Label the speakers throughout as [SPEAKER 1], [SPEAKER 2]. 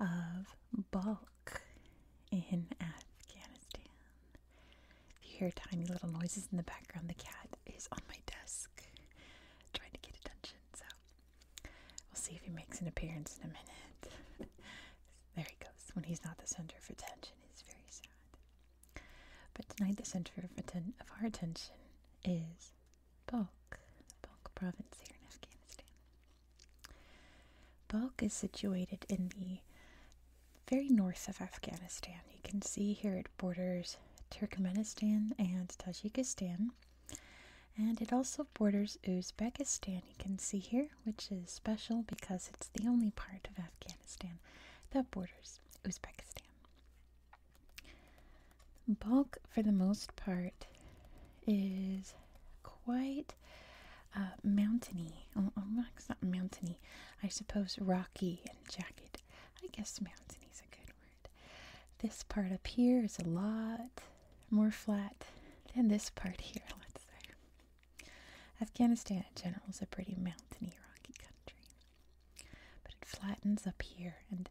[SPEAKER 1] of bulk in Afghanistan. If you hear tiny little noises in the background, the cat is on my desk trying to get attention. So we'll see if he makes an appearance in a minute. there he goes. When he's not the center of attention, it's very sad. But tonight, the center of, of our attention is Balkh, Balkh province here in Afghanistan. Balkh is situated in the very north of Afghanistan. You can see here it borders Turkmenistan and Tajikistan. And it also borders Uzbekistan, you can see here, which is special because it's the only part of Afghanistan that borders Uzbekistan. Bulk, for the most part, is quite uh, mountainy. Oh, it's not mountainy. I suppose rocky and jagged. I guess mountainy is a good word. This part up here is a lot more flat than this part here, let's say. Afghanistan in general is a pretty mountainy, rocky country, but it flattens up here and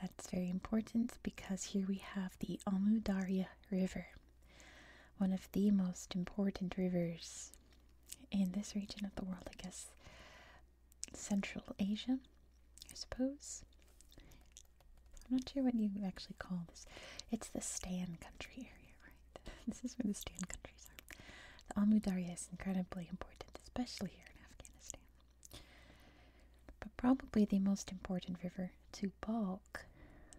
[SPEAKER 1] that's very important because here we have the Amu-Darya River, one of the most important rivers in this region of the world, I guess Central Asia, I suppose. I'm not sure what you actually call this. It's the Stan country area, right? this is where the Stan countries are. The Amu-Darya is incredibly important, especially here in Afghanistan. But probably the most important river to Balk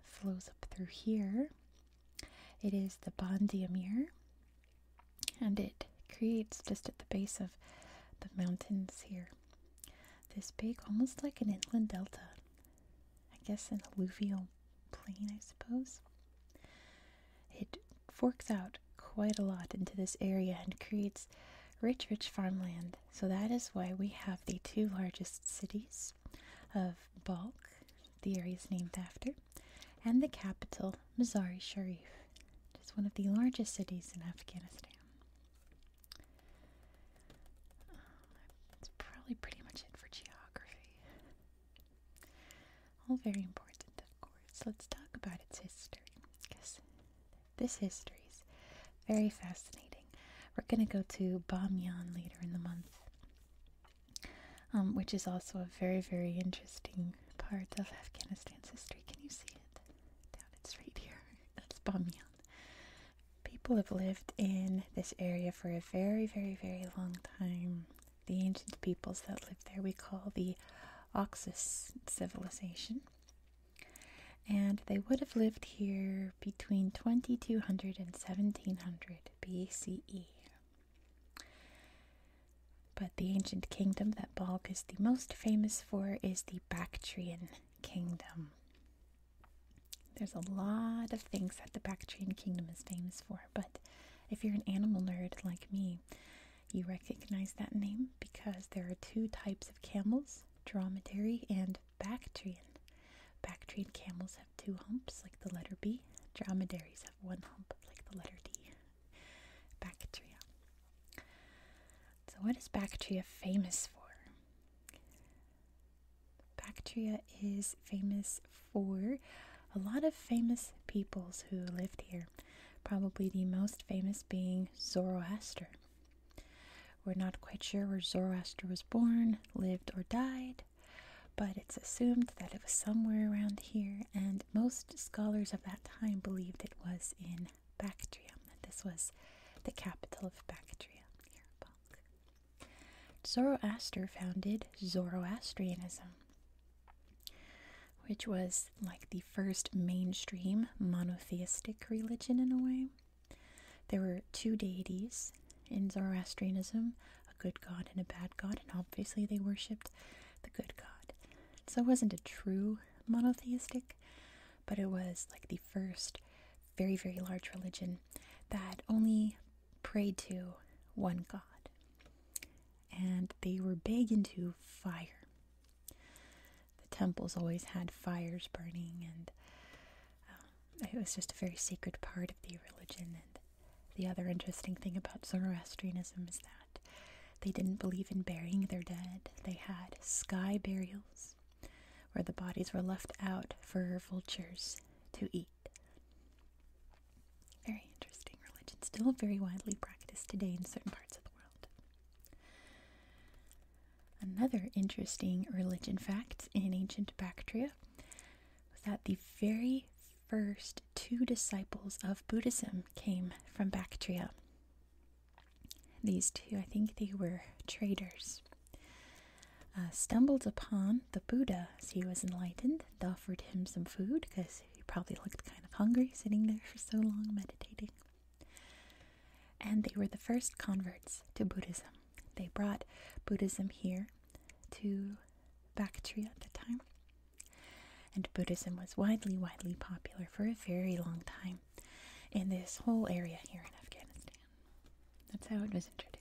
[SPEAKER 1] flows up through here. It is the Bandiamir, and it creates just at the base of the mountains here this big, almost like an inland delta. I guess an alluvial plain, I suppose. It forks out quite a lot into this area and creates rich, rich farmland so that is why we have the two largest cities of Balkh, the area's named after, and the capital, Mazar-e Sharif, which is one of the largest cities in Afghanistan. Um, that's probably pretty much it for geography. All very important, of course. Let's talk about its history, because this history is very fascinating. We're going to go to Bamyan later in the month, um, which is also a very, very interesting part of Afghanistan's history. Can you see it? it's right here. That's Bamyan. People have lived in this area for a very, very, very long time. The ancient peoples that lived there we call the Oxus civilization. And they would have lived here between 2200 and 1700 BCE. But the ancient kingdom that Balk is the most famous for is the Bactrian kingdom. There's a lot of things that the Bactrian kingdom is famous for, but if you're an animal nerd like me, you recognize that name because there are two types of camels dromedary, and Bactrian. Bactrian camels have two humps, like the letter B. Dromedaries have one hump, like the letter D. Bactria. So, what is Bactria famous for? Bactria is famous for a lot of famous peoples who lived here, probably the most famous being Zoroaster. We're not quite sure where Zoroaster was born, lived, or died, but it's assumed that it was somewhere around here, and most scholars of that time believed it was in Bactria, that this was the capital of Bactria, Zoroaster founded Zoroastrianism, which was like the first mainstream monotheistic religion in a way. There were two deities in Zoroastrianism a good god and a bad god, and obviously they worshipped the good god. So it wasn't a true monotheistic, but it was like the first very, very large religion that only prayed to one god. And they were big into fire. The temples always had fires burning, and um, it was just a very sacred part of the religion. And the other interesting thing about Zoroastrianism is that they didn't believe in burying their dead, they had sky burials where the bodies were left out for vultures to eat. Very interesting religion, still very widely practiced today in certain parts of the world. Another interesting religion fact in ancient Bactria was that the very first two disciples of Buddhism came from Bactria. These two, I think they were traders, uh, stumbled upon the Buddha as he was enlightened and offered him some food because he probably looked kind of hungry sitting there for so long meditating. And they were the first converts to Buddhism. They brought Buddhism here to Bactria at the time. And Buddhism was widely, widely popular for a very long time in this whole area here in Afghanistan. That's how it was introduced.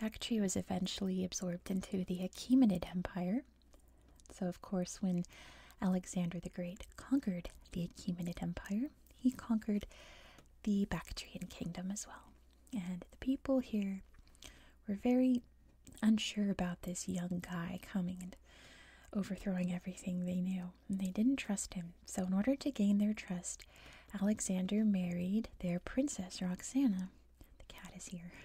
[SPEAKER 1] Bactria was eventually absorbed into the Achaemenid Empire, so, of course, when Alexander the Great conquered the Achaemenid Empire, he conquered the Bactrian kingdom as well. And the people here were very unsure about this young guy coming and overthrowing everything they knew, and they didn't trust him. So, in order to gain their trust, Alexander married their princess Roxana. The cat is here.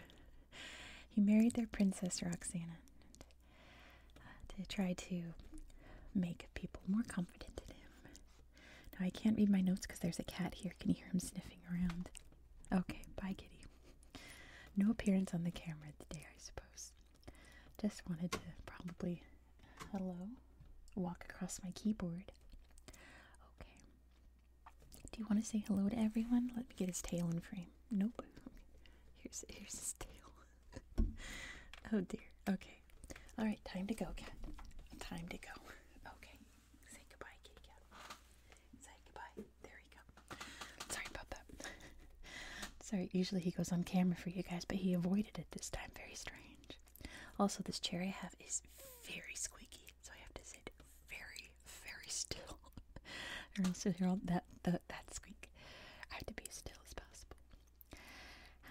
[SPEAKER 1] He married their princess Roxana. Uh, to try to make people more confident in him. Now I can't read my notes because there's a cat here. Can you hear him sniffing around? Okay, bye, kitty. No appearance on the camera today, I suppose. Just wanted to probably, hello, walk across my keyboard. Okay. Do you want to say hello to everyone? Let me get his tail in frame. Nope. Here's here's his tail. oh dear. Okay. All right. Time to go, cat. Time to go. Okay. Say goodbye, kitty cat. Say goodbye. There you go. Sorry about that. Sorry. Usually he goes on camera for you guys, but he avoided it this time. Very strange. Also, this chair I have is very squeaky, so I have to sit very, very still. I don't sit here all that the, that squeak I have to be still as possible.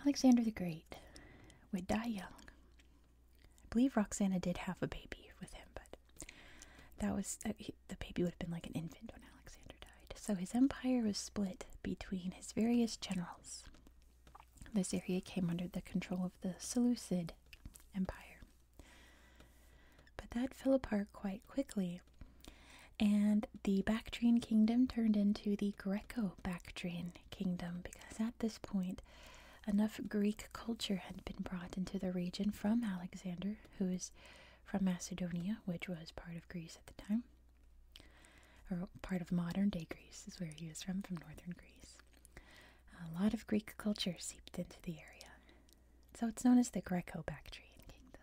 [SPEAKER 1] Alexander the Great would die young. I believe Roxana did have a baby with him, but that was the baby would have been like an infant when Alexander died. So his empire was split between his various generals. This area came under the control of the Seleucid Empire. But that fell apart quite quickly and the Bactrian kingdom turned into the Greco Bactrian kingdom because at this point, enough Greek culture had been brought into the region from Alexander, who is from Macedonia, which was part of Greece at the time, or part of modern day Greece is where he was from, from northern Greece. A lot of Greek culture seeped into the area, so it's known as the Greco Bactrian kingdom.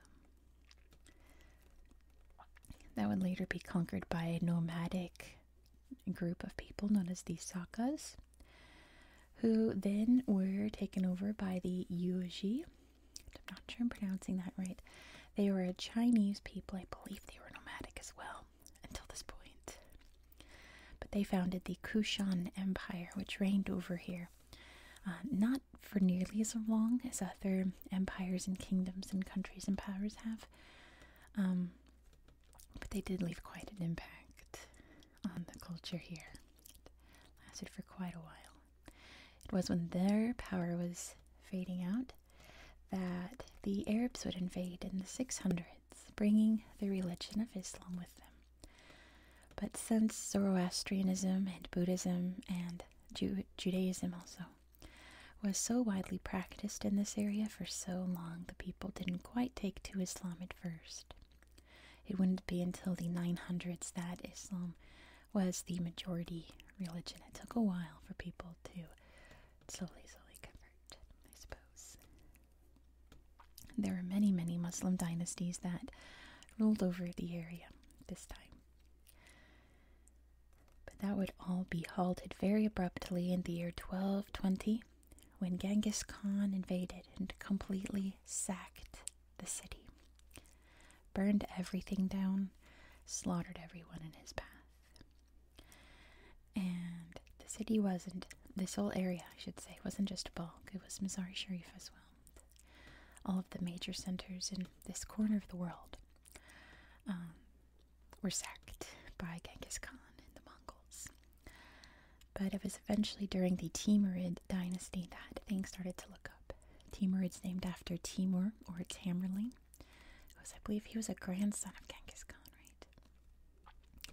[SPEAKER 1] That would later be conquered by a nomadic group of people known as the Sakas, who then were taken over by the Yuji. I'm not sure I'm pronouncing that right. They were a Chinese people. I believe they were nomadic as well until this point. But they founded the Kushan Empire, which reigned over here. Uh, not for nearly as long as other empires and kingdoms and countries and powers have. Um, but they did leave quite an impact on the culture here. It lasted for quite a while. It was when their power was fading out that the Arabs would invade in the 600s, bringing the religion of Islam with them but since Zoroastrianism and Buddhism and Judaism also was so widely practiced in this area for so long, the people didn't quite take to Islam at first. It wouldn't be until the 900s that Islam was the majority religion. It took a while for people to slowly, slowly convert, I suppose. There were many, many Muslim dynasties that ruled over the area this time. But that would all be halted very abruptly in the year 1220 when Genghis Khan invaded and completely sacked the city, burned everything down, slaughtered everyone in his path. And the city wasn't, this whole area, I should say, wasn't just Balkh, it was Mazar Sharif as well. Um, all of the major centers in this corner of the world um, were sacked by Genghis Khan and the Mongols. But it was eventually during the Timurid dynasty that things started to look up. Timurid's named after Timur, or Tamerlane, who I believe he was a grandson of Genghis Khan, right?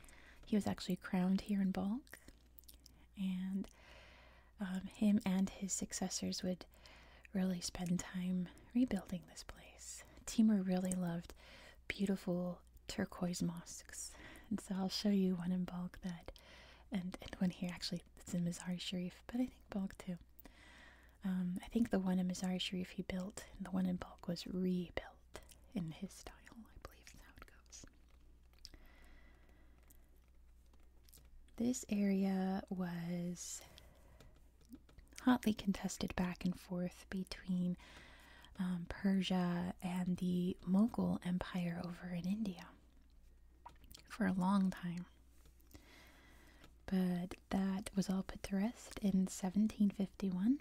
[SPEAKER 1] He was actually crowned here in Balkh, and um, him and his successors would really spend time rebuilding this place. Timur really loved beautiful turquoise mosques, and so I'll show you one in Balkh that, and, and one here actually it's in mazar Sharif, but I think Balkh too. Um, I think the one in mazar Sharif he built, and the one in Balkh was rebuilt in his style, I believe is how it goes. This area was hotly contested back and forth between um, Persia and the Mughal Empire over in India for a long time. But that was all put to rest in 1751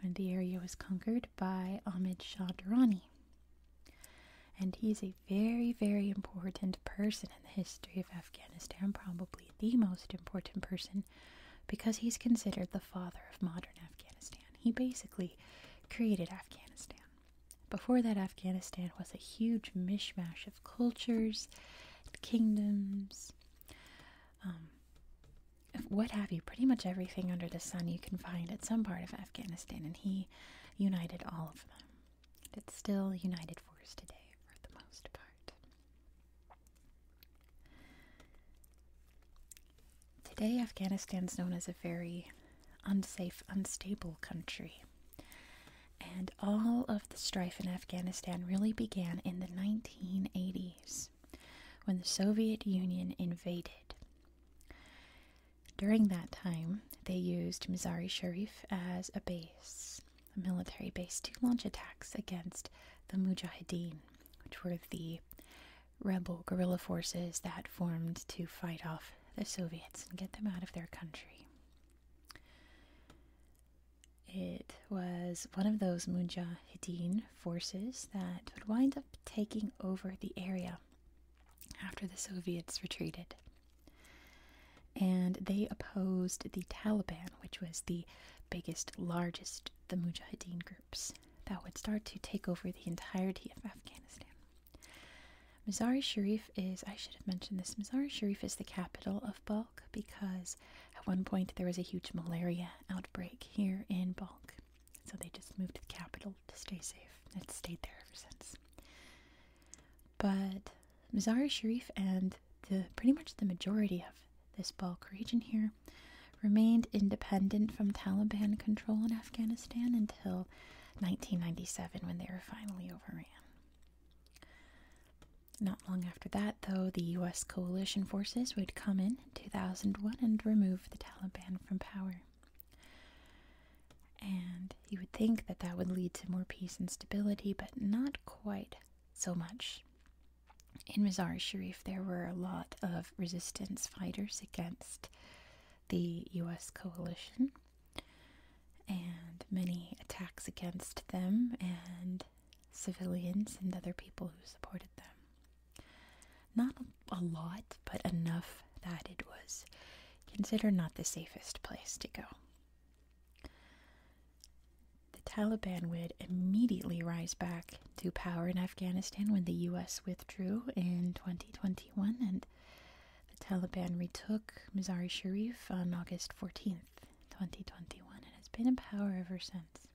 [SPEAKER 1] when the area was conquered by Ahmad Shah Durrani. And he's a very, very important person in the history of Afghanistan, probably the most important person, because he's considered the father of modern Afghanistan. He basically created Afghanistan. Before that, Afghanistan was a huge mishmash of cultures, kingdoms, um, what have you, pretty much everything under the sun you can find at some part of Afghanistan, and he united all of them it's still United Force today for the most part. Today, Afghanistan is known as a very unsafe, unstable country. And all of the strife in Afghanistan really began in the 1980s when the Soviet Union invaded. During that time, they used Mazari Sharif as a base, a military base, to launch attacks against the Mujahideen, which were the rebel guerrilla forces that formed to fight off the Soviets and get them out of their country. It was one of those Mujahideen forces that would wind up taking over the area after the Soviets retreated. And they opposed the Taliban, which was the biggest, largest, the Mujahideen groups that would start to take over the entirety of Afghanistan. Mazar-e Sharif is, I should have mentioned this, Mazar-e Sharif is the capital of Balkh because at one point there was a huge malaria outbreak here in Balkh. So they just moved to the capital to stay safe. It's stayed there ever since. But Mazar-e Sharif and the pretty much the majority of this Balk region here remained independent from Taliban control in Afghanistan until 1997 when they were finally overran. Not long after that, though, the US coalition forces would come in 2001 and remove the Taliban from power. And you would think that that would lead to more peace and stability, but not quite so much. In Mazar Sharif, there were a lot of resistance fighters against the US coalition and many attacks against them and civilians and other people who supported them. Not a lot, but enough that it was considered not the safest place to go. The Taliban would immediately rise back to power in Afghanistan when the US withdrew in 2021 and the Taliban retook Mazar-e Sharif on August 14th, 2021 and has been in power ever since.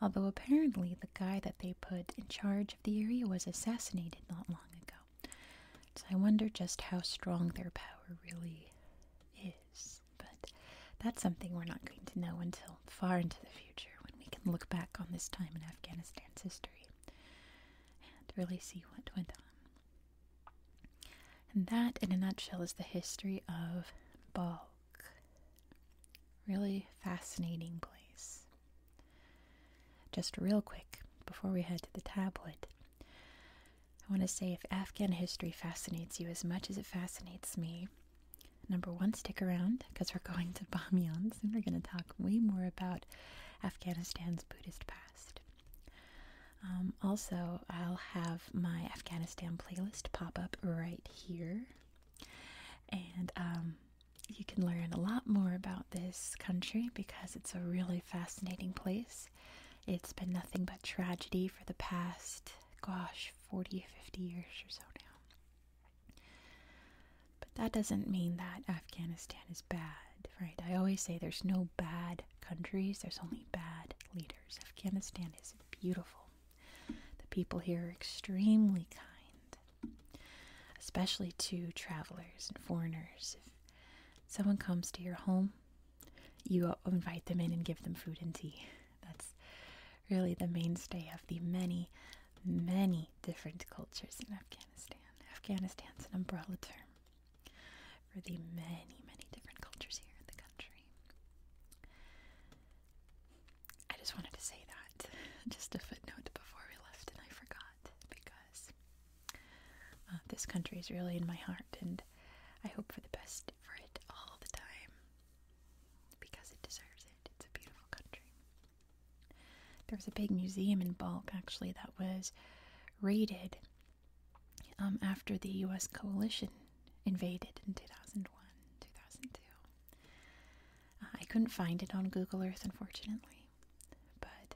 [SPEAKER 1] Although apparently the guy that they put in charge of the area was assassinated not long ago. So I wonder just how strong their power really is. But that's something we're not going to know until far into the future when we can look back on this time in Afghanistan's history and really see what went on. And that, in a nutshell, is the history of Balkh. Really fascinating place. Just real quick, before we head to the tablet, I want to say if Afghan history fascinates you as much as it fascinates me, number one, stick around because we're going to Bamyan and we're going to talk way more about Afghanistan's Buddhist past. Um, also, I'll have my Afghanistan playlist pop up right here. And um, you can learn a lot more about this country because it's a really fascinating place. It's been nothing but tragedy for the past, gosh, 40, 50 years or so now. But that doesn't mean that Afghanistan is bad, right? I always say there's no bad countries, there's only bad leaders. Afghanistan is beautiful. The people here are extremely kind, especially to travelers and foreigners someone comes to your home, you invite them in and give them food and tea. That's really the mainstay of the many, many different cultures in Afghanistan. Afghanistan's an umbrella term for the many, many different cultures here in the country. I just wanted to say that, just a footnote before we left, and I forgot because uh, this country is really in my heart, and I hope for the best for it all the time because it deserves it. It's a beautiful country. There was a big museum in Balk, actually, that was raided um, after the U.S. coalition invaded in 2001, 2002. Uh, I couldn't find it on Google Earth, unfortunately. But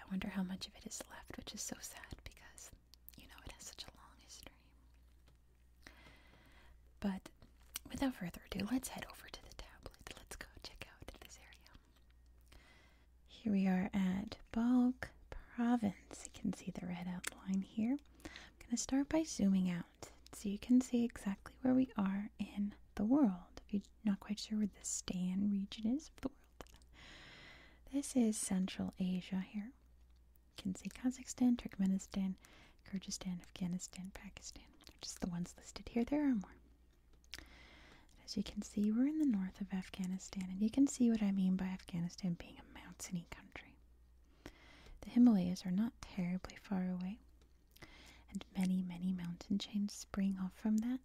[SPEAKER 1] I wonder how much of it is left, which is so sad because, you know, it has such a long history. But without further ado, let's head over to the tablet. Let's go check out this area. Here we are at Balkh Province. You can see the red outline here. I'm going to start by zooming out so you can see exactly where we are in the world. If you're not quite sure where the Stan region is of the world, this is Central Asia here. You can see Kazakhstan, Turkmenistan, Kyrgyzstan, Afghanistan, Pakistan. They're just the ones listed here. There are more. As you can see, we're in the north of Afghanistan, and you can see what I mean by Afghanistan being a mountainy country. The Himalayas are not terribly far away, and many, many mountain chains spring off from that.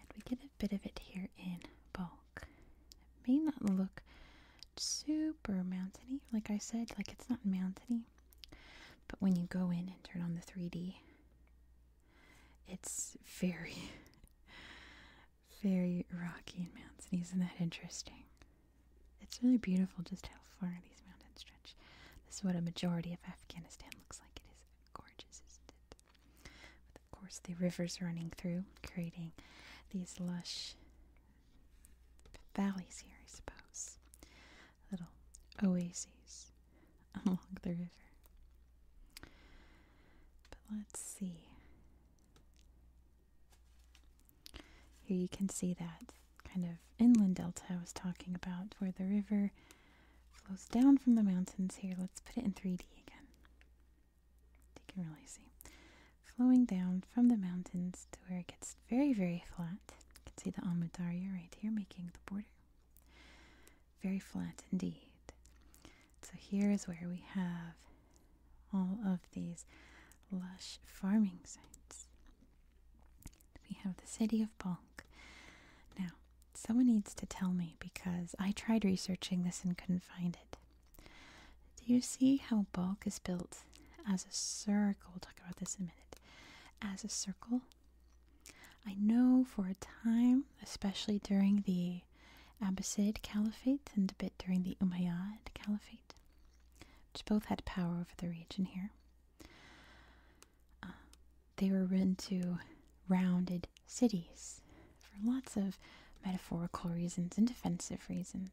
[SPEAKER 1] And we get a bit of it here in bulk. It may not look super mountainy, like I said, like it's not mountainy. But when you go in and turn on the 3D, it's very, very rocky and mountainy. Isn't that interesting? It's really beautiful just how far these mountains stretch. This is what a majority of Afghanistan looks like. It is Gorgeous, isn't it? of course, the rivers running through, creating these lush valleys here, I suppose. Little oases along the river. But let's see. Here you can see that kind of inland delta I was talking about, for the river flows down from the mountains here. Let's put it in 3D again. You can really see. Flowing down from the mountains to where it gets very, very flat. You can see the Amudarya right here making the border. Very flat indeed. So here is where we have all of these lush farming sites we have the city of Bonk. Now, someone needs to tell me because I tried researching this and couldn't find it. Do you see how Bonk is built as a circle? We'll talk about this in a minute. As a circle. I know for a time, especially during the Abbasid Caliphate and a bit during the Umayyad Caliphate, which both had power over the region here. Uh, they were into rounded cities for lots of metaphorical reasons and defensive reasons.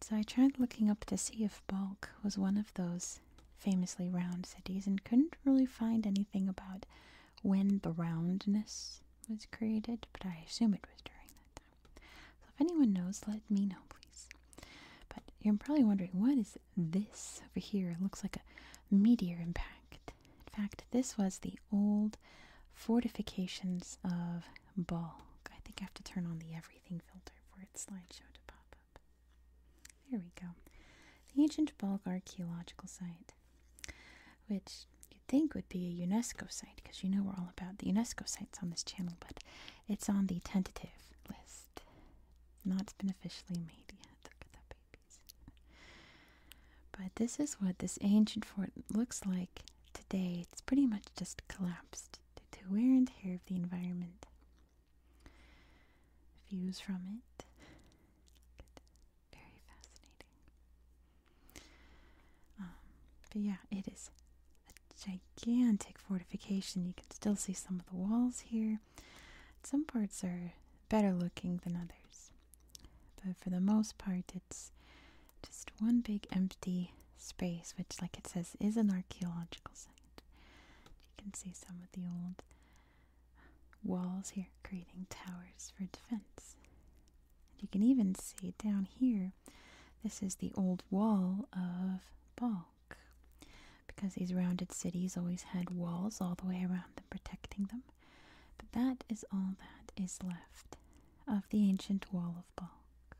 [SPEAKER 1] So I tried looking up to see if Balk was one of those famously round cities and couldn't really find anything about when the roundness was created, but I assume it was during that time. So if anyone knows, let me know, please. But you're probably wondering, what is this over here looks like a meteor impact. In fact, this was the old fortifications of Balk. I think I have to turn on the everything filter for its slideshow to pop up. There we go. The ancient Balk archaeological site, which you'd think would be a UNESCO site because you know we're all about the UNESCO sites on this channel, but it's on the tentative list. Not been officially made yet. Look at that page. But this is what this ancient fort looks like today. It's pretty much just collapsed due to wear and tear of the environment. Views from it. Very fascinating. Um, but yeah, it is a gigantic fortification. You can still see some of the walls here. Some parts are better looking than others, but for the most part, it's just one big empty space, which, like it says, is an archaeological site. You can see some of the old walls here creating towers for defense. you can even see down here, this is the old wall of Balk because these rounded cities always had walls all the way around them protecting them. But that is all that is left of the ancient wall of Balk.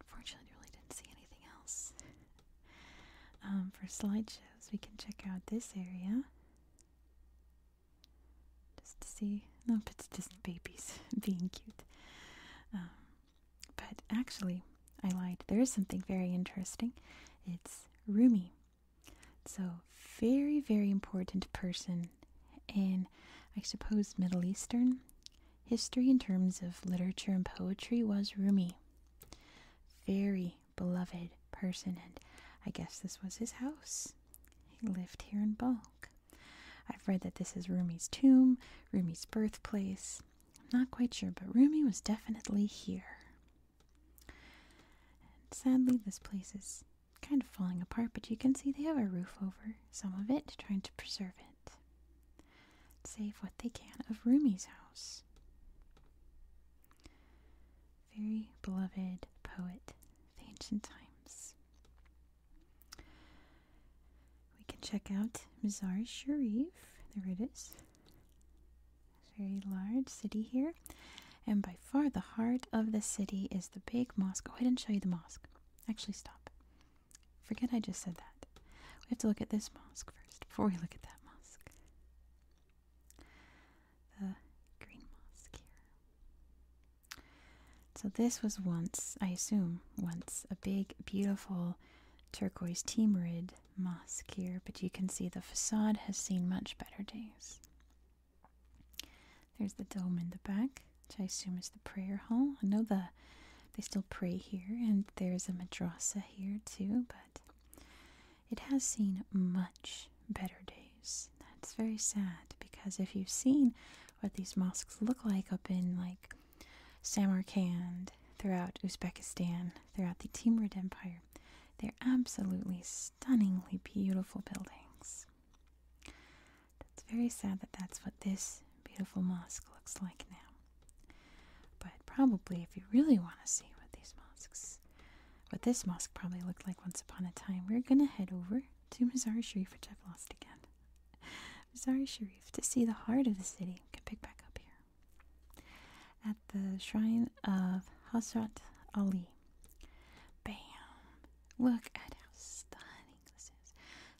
[SPEAKER 1] Unfortunately, I really didn't see anything else. Um, for slideshows, we can check out this area just to see. No, it's just babies being cute. Um, but actually, I lied. There is something very interesting. It's Rumi. So, very, very important person in, I suppose, Middle Eastern history in terms of literature and poetry was Rumi. Very beloved person, and I guess this was his house. He lived here in Balkh. I've read that this is Rumi's tomb, Rumi's birthplace. I'm not quite sure, but Rumi was definitely here. And sadly, this place is kind of falling apart, but you can see they have a roof over some of it, trying to preserve it. Save what they can of Rumi's house. Very beloved poet of ancient times. We can check out Mazar Sharif. There it is. Very large city here. And by far the heart of the city is the big mosque. Go ahead and show you the mosque. Actually, stop. Forget I just said that. We have to look at this mosque first before we look at that mosque. The green mosque here. So, this was once, I assume, once a big, beautiful turquoise temerid mosque here, but you can see the facade has seen much better days. There's the dome in the back, which I assume is the prayer hall. I know the they still pray here, and there's a madrasa here too, but it has seen much better days. That's very sad because if you've seen what these mosques look like up in like Samarkand, throughout Uzbekistan, throughout the Timurid Empire. They're absolutely stunningly beautiful buildings. It's very sad that that's what this beautiful mosque looks like now. But probably, if you really want to see what these mosques, what this mosque probably looked like once upon a time, we're going to head over to Mazar Sharif, which I've lost again. Mazar Sharif to see the heart of the city. We can pick back up here at the shrine of Hazrat Ali. Bam! Look at how stunning this is.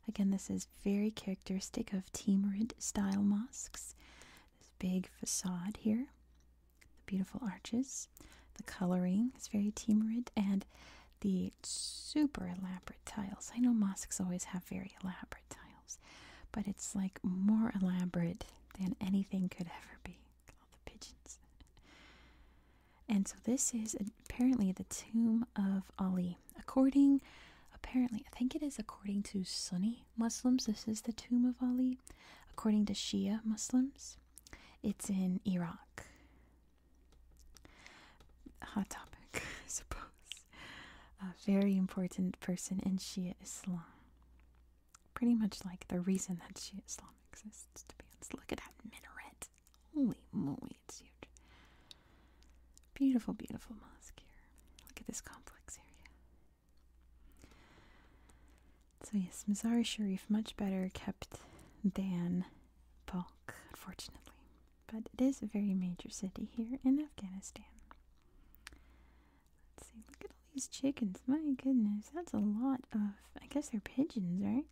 [SPEAKER 1] Again, this is very characteristic of Timurid style mosques. This big facade here, the beautiful arches, the coloring is very Timurid, and the super elaborate tiles. I know mosques always have very elaborate tiles but it's like more elaborate than anything could ever be. All the pigeons. And so this is apparently the tomb of Ali. According, apparently, I think it is according to Sunni Muslims, this is the tomb of Ali. According to Shia Muslims, it's in Iraq. Hot topic, I suppose a very important person in Shia Islam. Pretty much like the reason that Shia Islam exists, to be honest. Look at that minaret. Holy moly, it's huge. Beautiful, beautiful mosque here. Look at this complex area. So yes, Mazar Sharif much better kept than Balkh, unfortunately. But it is a very major city here in Afghanistan. Let's see, look at all these chickens. My goodness, that's a lot of, I guess they're pigeons, right?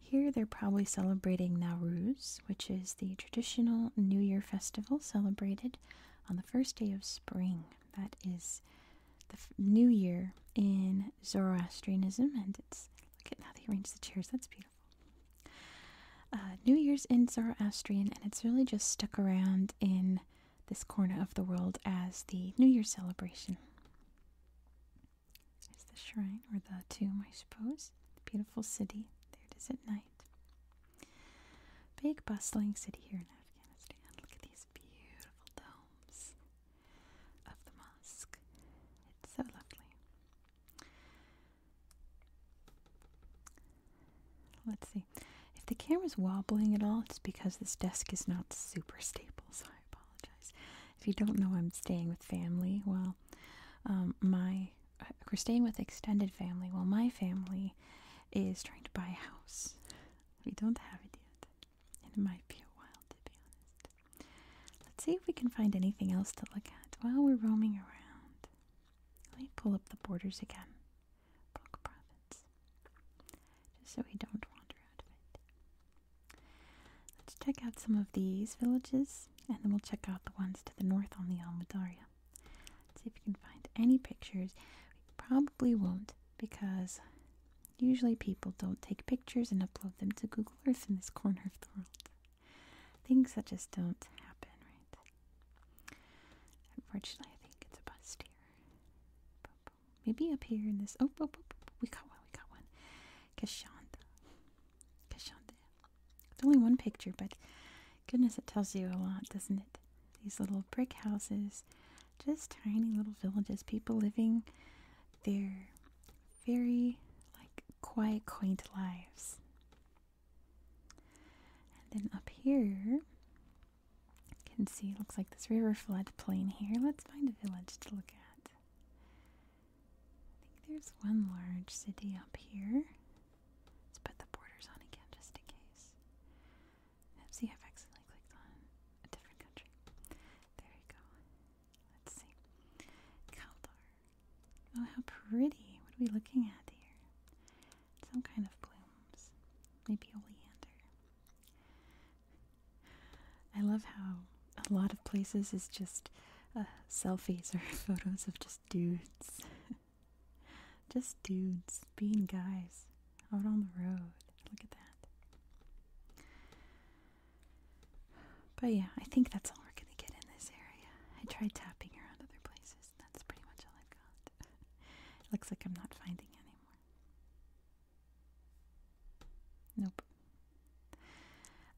[SPEAKER 1] Here they're probably celebrating Nowruz, which is the traditional New Year festival celebrated on the first day of spring. That is the New Year in Zoroastrianism, and it's look at how they arrange the chairs. That's beautiful. Uh, New Year's in Zoroastrian, and it's really just stuck around in this corner of the world as the New Year celebration. There's the shrine, or the tomb, I suppose. beautiful city. There it is at night. Big, bustling city here in Afghanistan. Look at these beautiful domes of the mosque. It's so lovely. Let's see. If the camera's wobbling at all, it's because this desk is not super stable, so I apologize. If you don't know, I'm staying with family. Well, um, my uh, we're staying with extended family. Well, my family is trying to buy a house. We don't have it yet, and it might be a while to be honest. Let's see if we can find anything else to look at while we're roaming around. Let me pull up the borders again. Book province. Just so we don't wander out of it. Let's check out some of these villages and then we'll check out the ones to the north on the Almudaria. see if we can find any pictures. We probably won't because usually people don't take pictures and upload them to Google Earth in this corner of the world. Things that just don't happen, right? Unfortunately, I think it's a bust here. Maybe up here in this. Oh, oh, oh, oh, we got one. We got one. Kashanda. Kashanda. It's only one picture, but goodness, it tells you a lot, doesn't it? These little brick houses, just tiny little villages, people living their very like quiet, quaint lives. And then up here, you can see, looks like this river floodplain here. Let's find a village to look at. I think there's one large city up here. Let's put the borders on again just in case. Let's see if I accidentally clicked on a different country. There you go. Let's see. Kaldar. Oh, how pretty. What are we looking at here? Some kind of blooms. Maybe oleander. I love how a lot of places is just uh, selfies or photos of just dudes. just dudes being guys out on the road. Look at that. But yeah, I think that's all we're going to get in this area. I tried tapping around other places that's pretty much all I've got. looks like I'm not finding anymore. Nope.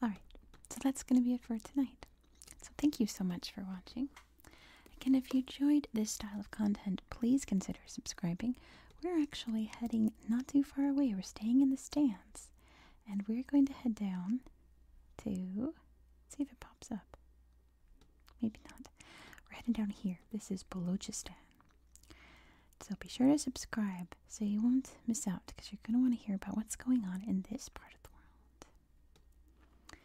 [SPEAKER 1] Alright, so that's going to be it for tonight. So thank you so much for watching. Again, if you enjoyed this style of content, please consider subscribing. We're actually heading not too far away. We're staying in the stands. And we're going to head down to see if it pops up. Maybe not. We're heading down here. This is Balochistan. So be sure to subscribe so you won't miss out because you're going to want to hear about what's going on in this part of the world.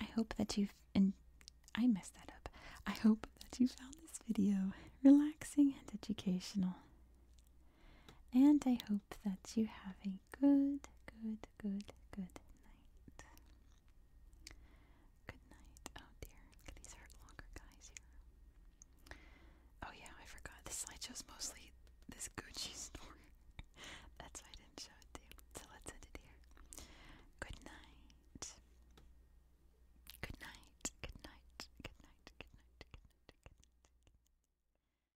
[SPEAKER 1] I hope that you've and I messed that up. I hope that you found this video relaxing and educational. And I hope that you have a good, good, good, good night. Good night. Oh dear, these Hurt Locker guys here. Oh yeah, I forgot. This slideshow's mostly this Gucci store. That's why I didn't show it to you. let's end it Good night. Good night. Good night. Good night. Good night. Good night.